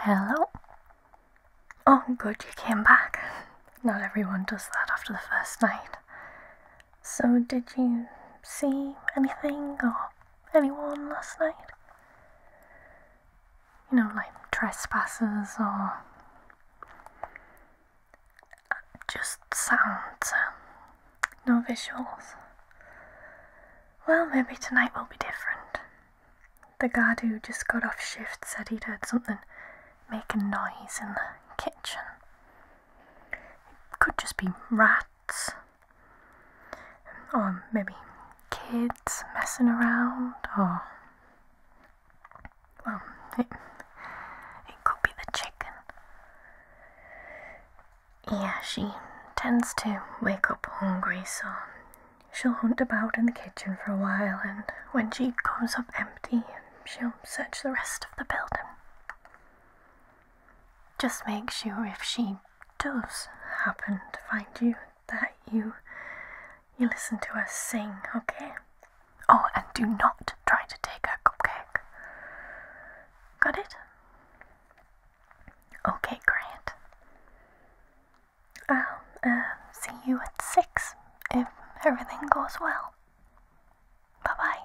Hello? Oh, good, you came back. Not everyone does that after the first night. So, did you see anything or anyone last night? you know, like trespassers or just sounds, um, no visuals. Well, maybe tonight will be different. The guard who just got off shift said he'd heard something make a noise in the kitchen. It could just be rats, or maybe kids messing around, or well, it, could be the chicken. Yeah, she tends to wake up hungry, so she'll hunt about in the kitchen for a while, and when she comes up empty, she'll search the rest of the building. Just make sure if she does happen to find you that you you listen to her sing, okay? Oh, and do not try to take a cupcake. Got it? Okay, great. I'll uh, see you at 6 if everything goes well. Bye bye.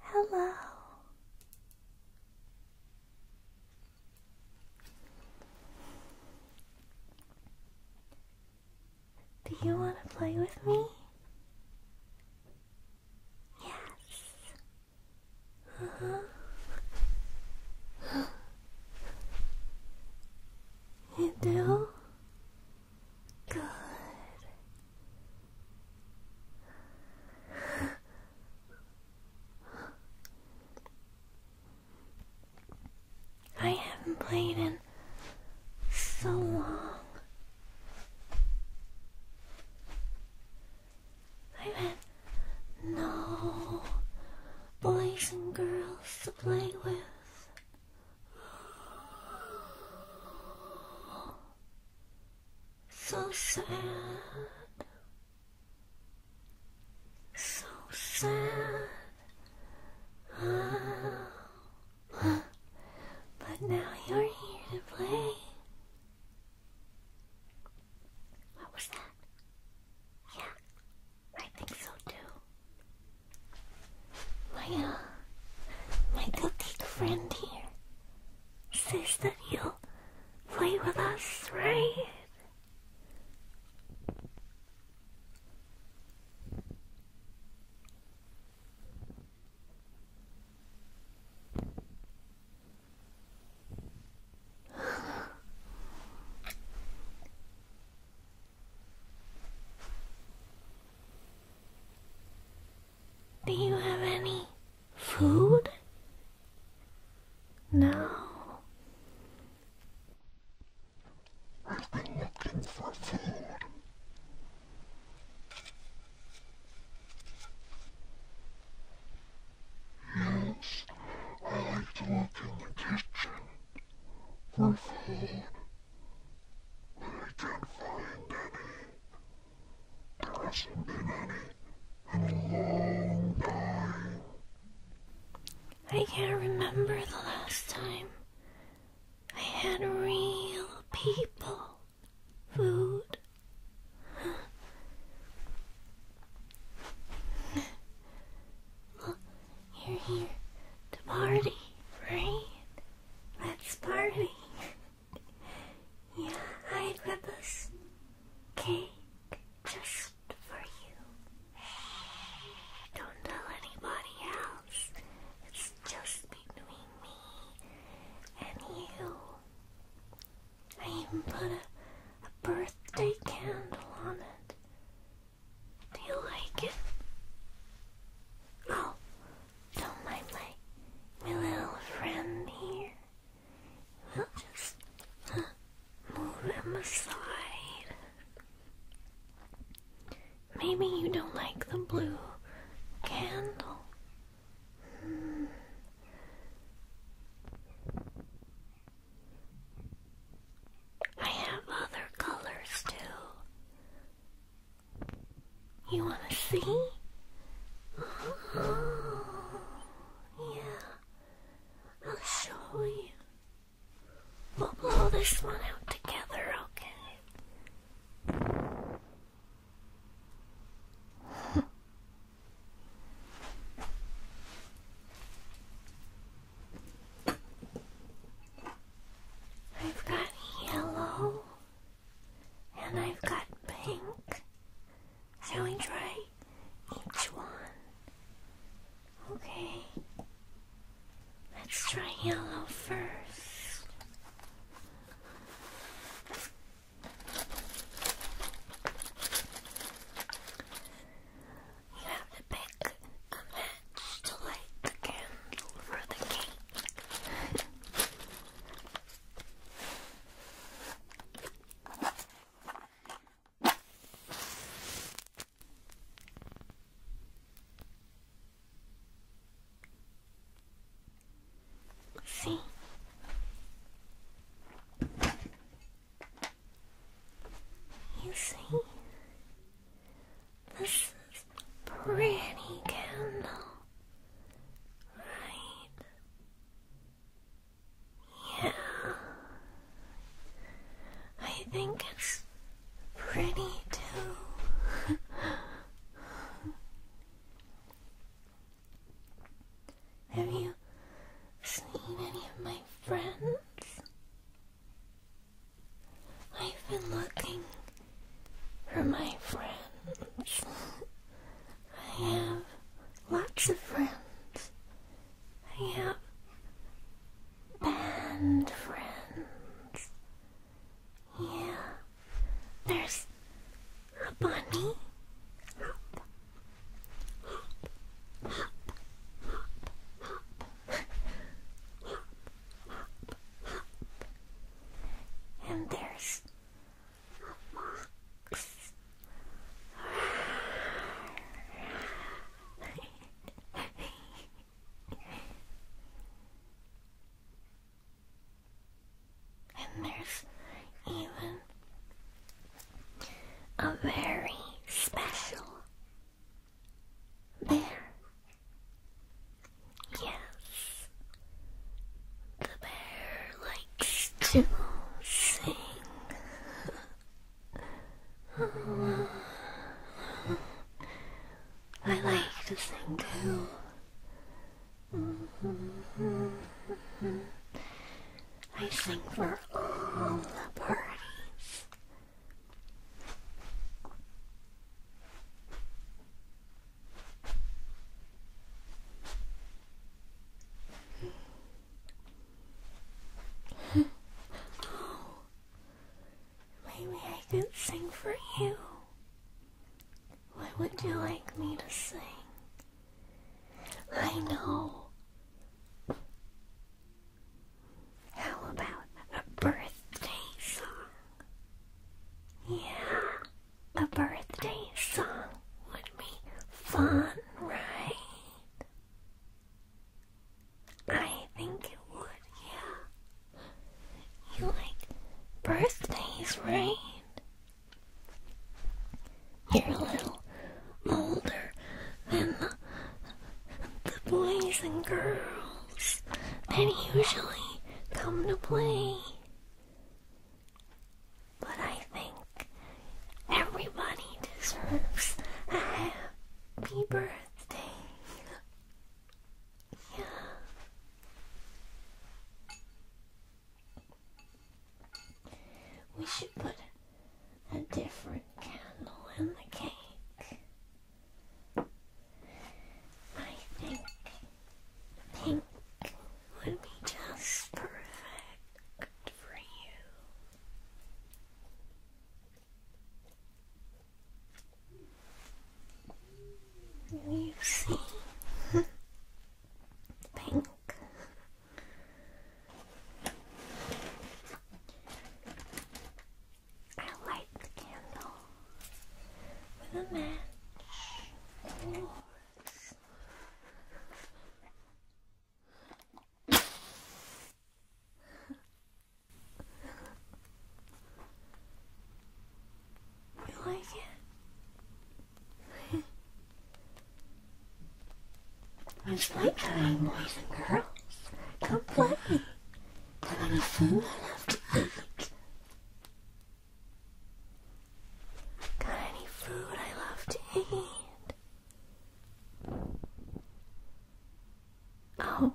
Hello. Do you want to play with me? Yes. Uh huh. You do? Good. I haven't played in so long. i had no boys and girls to play with. So sad. So oh, sad. But now you're here to play. What was that? Yeah, I think so too. My uh, my petite friend here says that you'll play with us, right? Do you have any food? No. I've been looking for food. Yes, I like to look in the kitchen for food, but I can't find any. I can't remember the last time I had real people, food. Look, you're here to party, right? Let's party. Yeah, I grab this cake just for you. Don't tell anybody else. It's just between me and you. I even put a, a birthday candle on it. Do you like it? Oh, don't mind my, my little friend here. I'll just move them aside. Maybe you don't like the blue candle. I have other colors too. You want to see? Yeah. I'll show you. We'll blow this one out together, okay? I've got yellow and I've got pink Shall we try each one? Okay. Let's try yellow first. You have to pick a match to light the for the cake let see. You see, this is pretty candle, right? Yeah. I think it's pretty too. Have you seen any of my friends? I've been looking for my friends. I have lots of friends. I have band friends. Yeah. There's a bunny. Hop, hop, hop, hop, hop, hop, hop, hop. And there's and there's even a very special bear. Yes, the bear like to sing. I like to sing too. Mm-hmm. I sing for all the parties. maybe I could sing for you. What would you like me to sing? I know. How about a birthday song? Yeah, a birthday song would be fun, right? I think it would, yeah. You like birthdays, right? You're a little older than the, the boys and girls that usually come to play but I think everybody deserves a happy birthday. Yeah. We should put a different candle in the cake. I think pink would be just perfect. Good for you. You see, pink. I light the candle with a match you like it? it's like boys and girls. Come play. Have any food left to eat? Got any food I love to eat? Oh,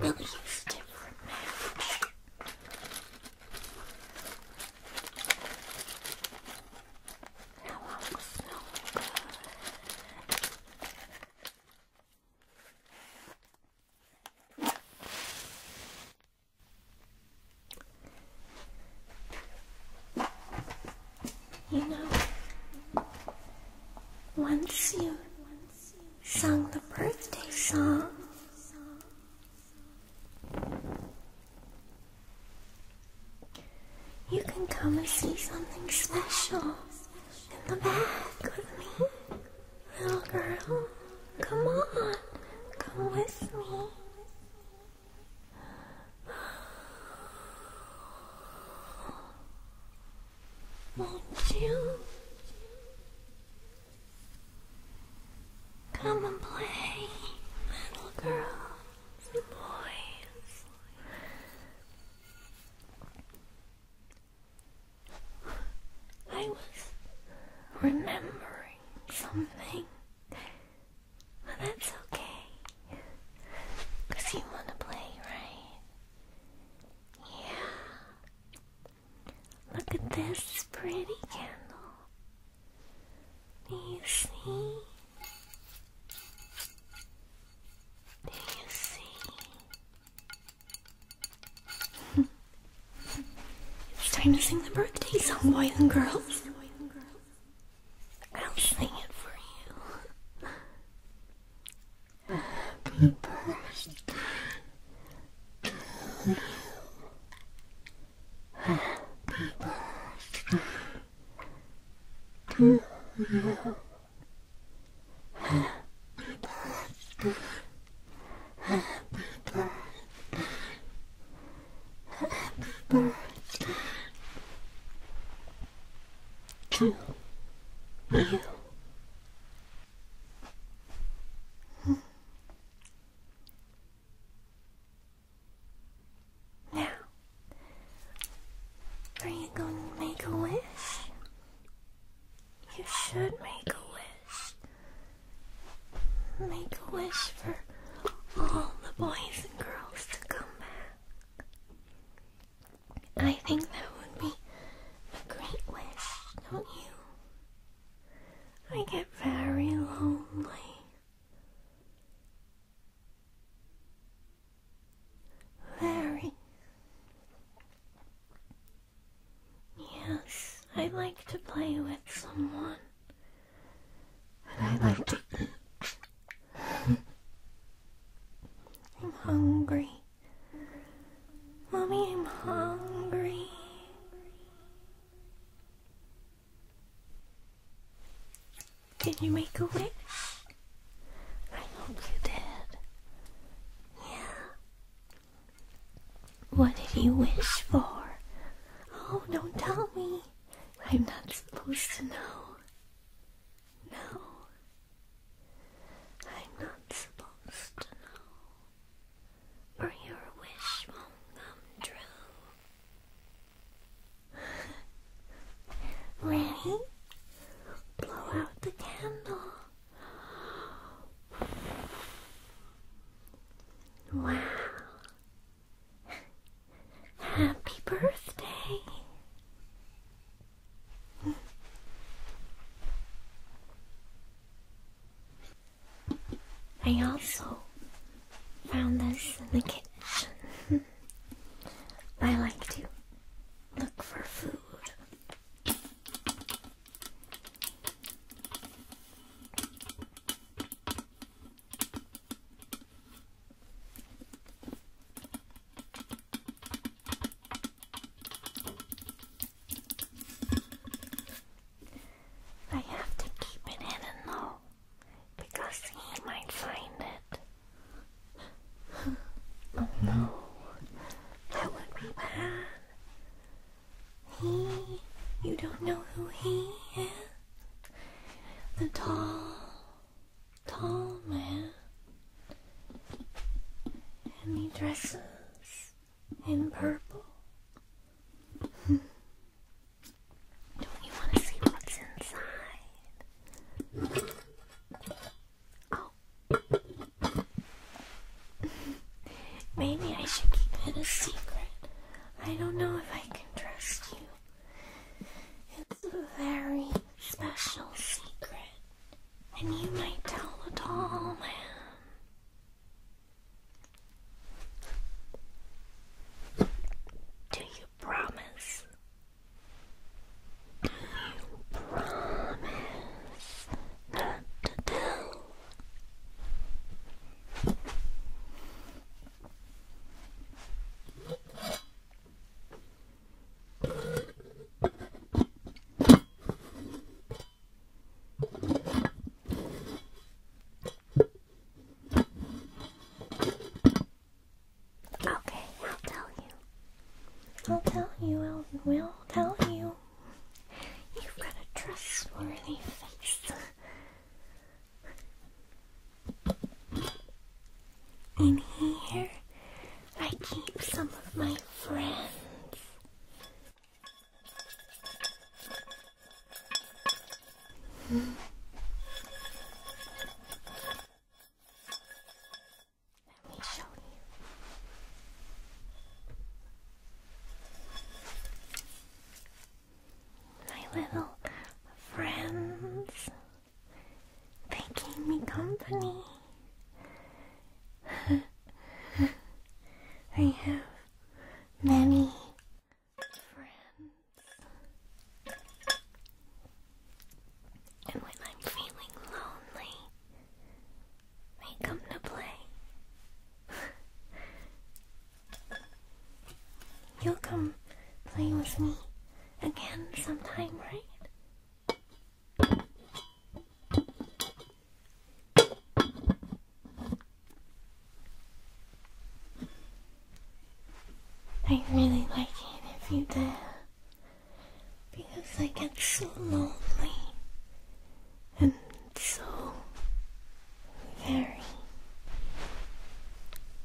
really is different now. Now I'm no good. You know, once you sung the birthday song, you can come and see something special in the back with me. Little girl, come on, come with me. Won't you come and play, little girls and boys? I was remembering something well, that's okay. Because you want to play, right? Yeah. Look at this pretty candle. Do you see? Do you see? it's time to sing the birthday song, boys and girls i am singing for you. Happy birthday to you. Happy birthday Happy birthday you. Now, are you going to make a wish? You should make a wish. Make a wish for all the boys and girls to come back. I think that would be a great wish, don't you? I get very lonely. Very. Yes, I like to play with someone. And I like it. I'm hungry. Mommy, I'm hungry. Did you make a wish? I hope you did. Yeah. What did you wish for? Oh, don't tell me. I'm not supposed to know. No. I'm not supposed to know. Or your wish won't come true. Ready? Blow out the candle. Wow. Happy birthday. I also found this in the kitchen. I like to look for food. I have to keep it hidden though, because he might find it. oh no, that would be bad. He, you don't know who he is? The tall, tall man, and he dresses in purple. Don't you want to see what's inside? Oh. Maybe I should keep it a secret. I don't know if I can trust you it's a very special secret, and you might tell the tall man. Do you promise? Do you promise not to tell? Okay, I'll tell you. I'll tell you, I'll will tell you. You've got a trustworthy face. In here, I keep some of my friends. Let me show you. My little friends. They gave me company. I have many friends. And when I'm feeling lonely, they come to play. You'll come play with me again sometime, right? I really like it if you do, because I get so lonely and so very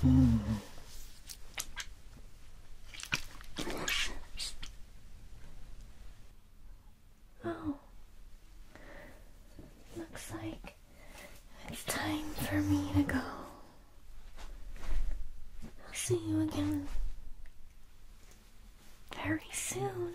Hmm. Oh, looks like it's time for me to go. I'll see you again very soon.